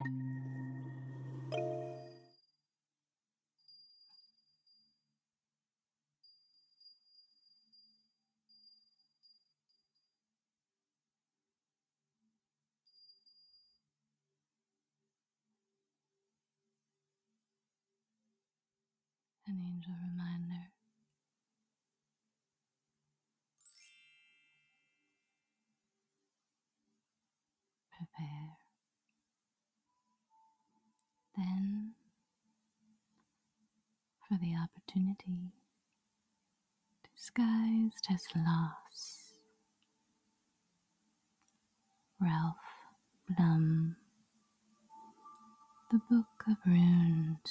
An angel reminder prepare. Then, for the opportunity disguised as loss, Ralph Blum, The Book of Runes.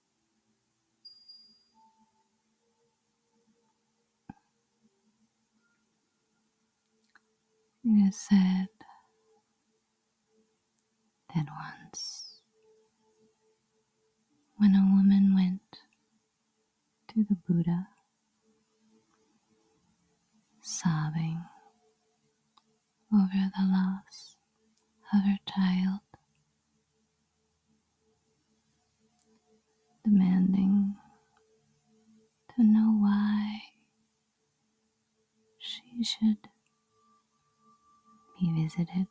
It is said that once, when a woman went to the Buddha, sobbing over the loss of her child, demanding to know why she should be visited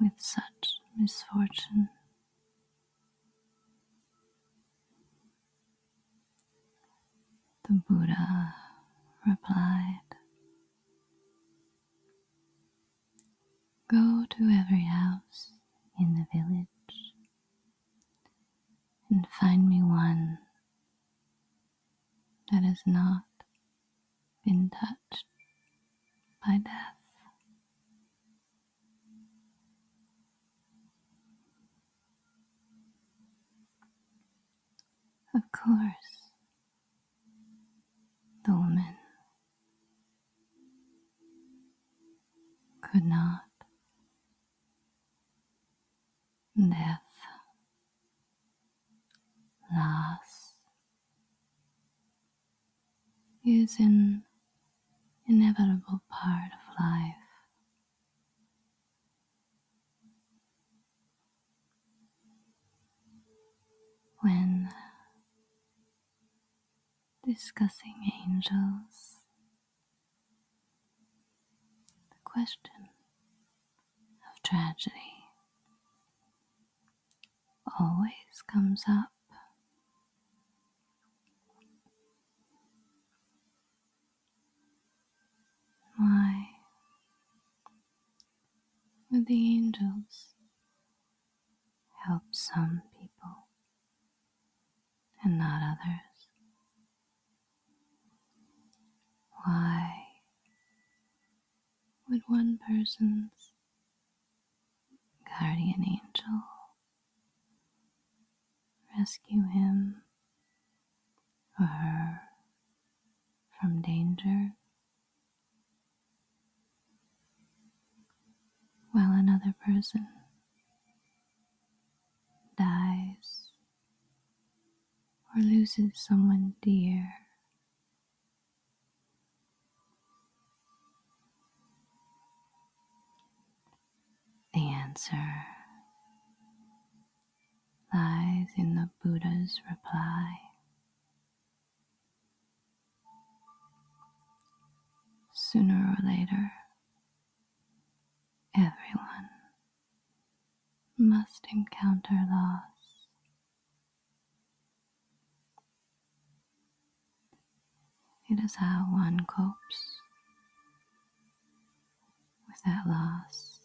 with such misfortune. The Buddha replied, Go to every house in the village and find me one that has not been touched by death. Of course, the woman could not. Death loss is an inevitable part of life. When discussing angels, the question of tragedy always comes up. Why with the angels help some people and not others? Why would one person's guardian angel rescue him or her from danger while another person dies or loses someone dear. The answer lies in the Buddha's reply. Sooner or later, everyone must encounter loss. It is how one copes with that loss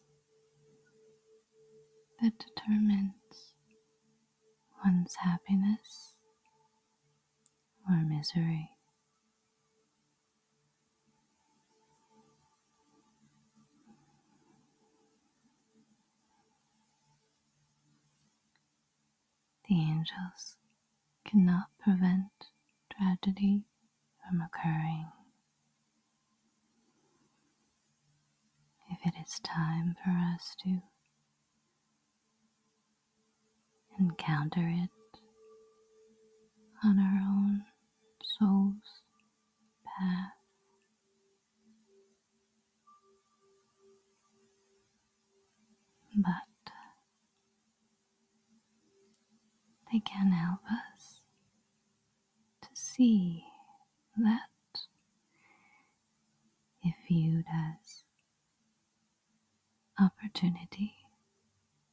that determines one's happiness or misery. The angels cannot prevent tragedy from occurring if it is time for us to encounter it on our own soul's path. But they can help us to see that, if viewed as opportunity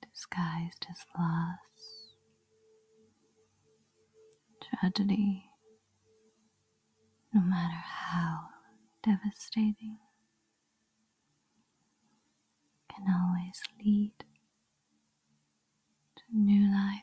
disguised as loss, tragedy, no matter how devastating, can always lead to new life.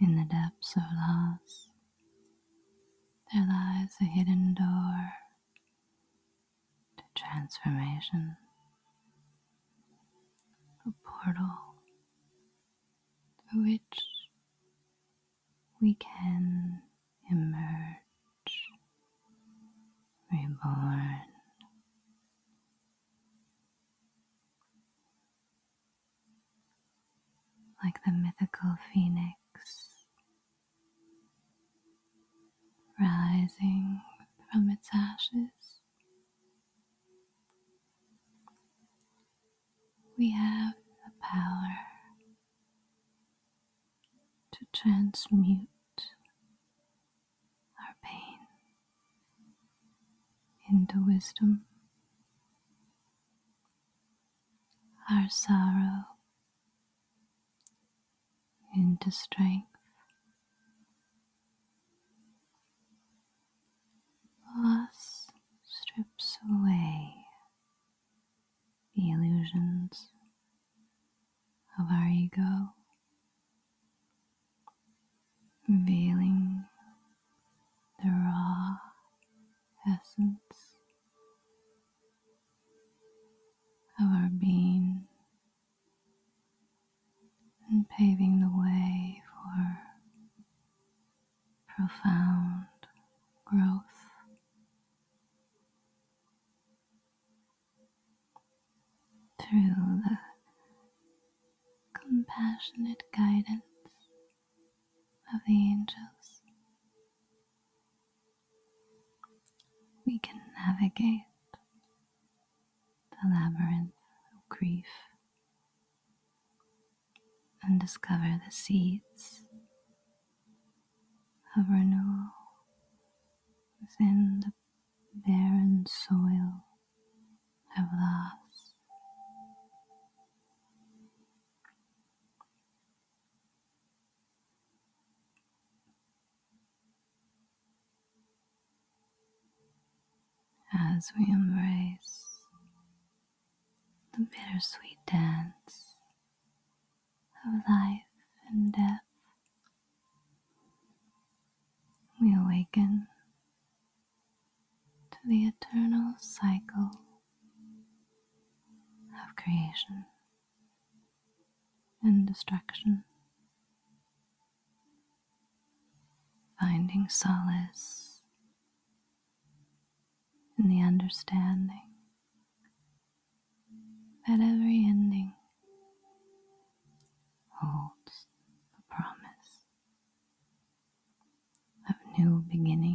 In the depths of loss, there lies a hidden door to transformation, a portal through which we can emerge reborn. Like the mythical phoenix rising from its ashes, we have the power to transmute our pain into wisdom, our sorrow into strength, Loss strips away the illusions of our ego, revealing the raw essence of our being and paving the way for profound growth. Through the compassionate guidance of the angels, we can navigate the labyrinth of grief and discover the seeds of renewal within the barren soil of loss. As we embrace the bittersweet dance of life and death. We awaken to the eternal cycle of creation and destruction, finding solace and the understanding that every ending holds a promise of new beginnings.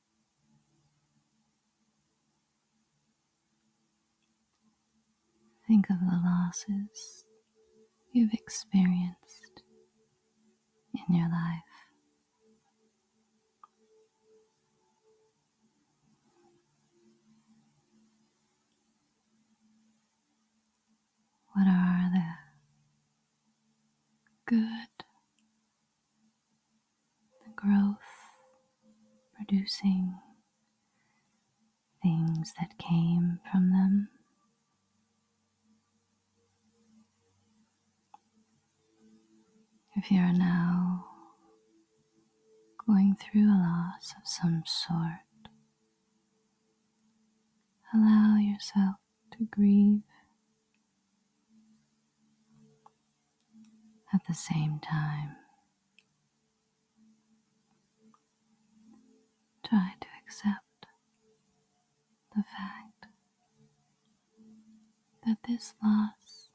Think of the losses you've experienced in your life. What are the good the growth producing things that came from them. If you are now going through a loss of some sort, allow yourself to grieve at the same time, try to accept the fact that this loss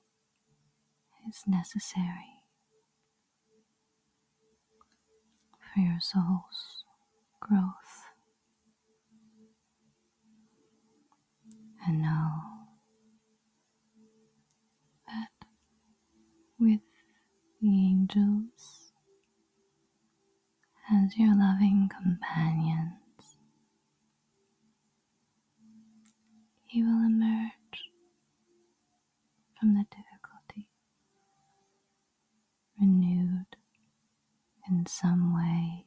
is necessary for your soul's growth and now, that with the angels as your loving companions, you will emerge from the difficulty renewed in some way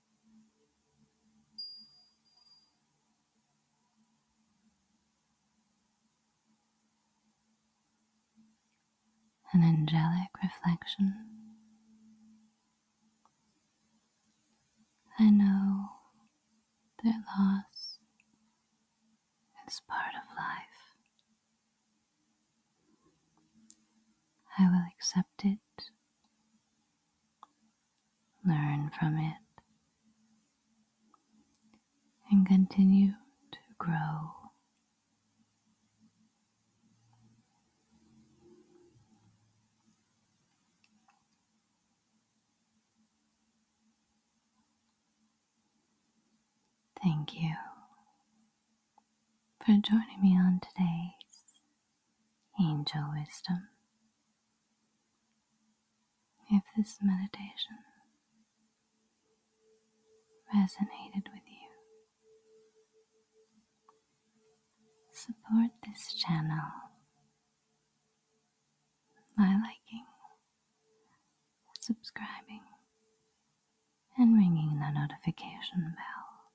An angelic reflection. I know that loss is part of life. I will accept it Learn from it and continue to grow. Thank you for joining me on today's Angel Wisdom. If this meditation resonated with you, support this channel by liking, subscribing, and ringing the notification bell.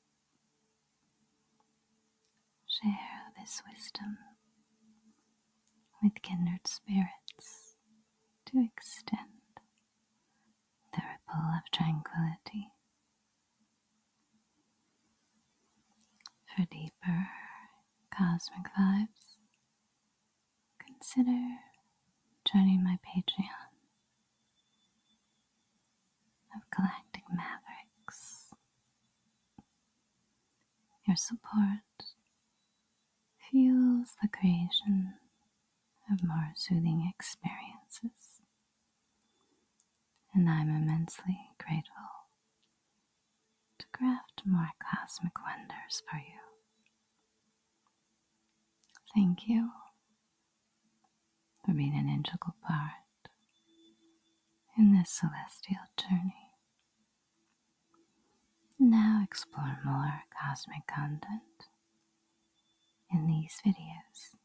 Share this wisdom with kindred spirits to extend the ripple of tranquility for deeper cosmic vibes. Consider joining my Patreon of Galactic Mavericks. Your support fuels the creation of more soothing experiences, and I'm immensely grateful to craft more cosmic wonders for you. Thank you for being an integral part in this celestial journey. Now explore more cosmic content in these videos.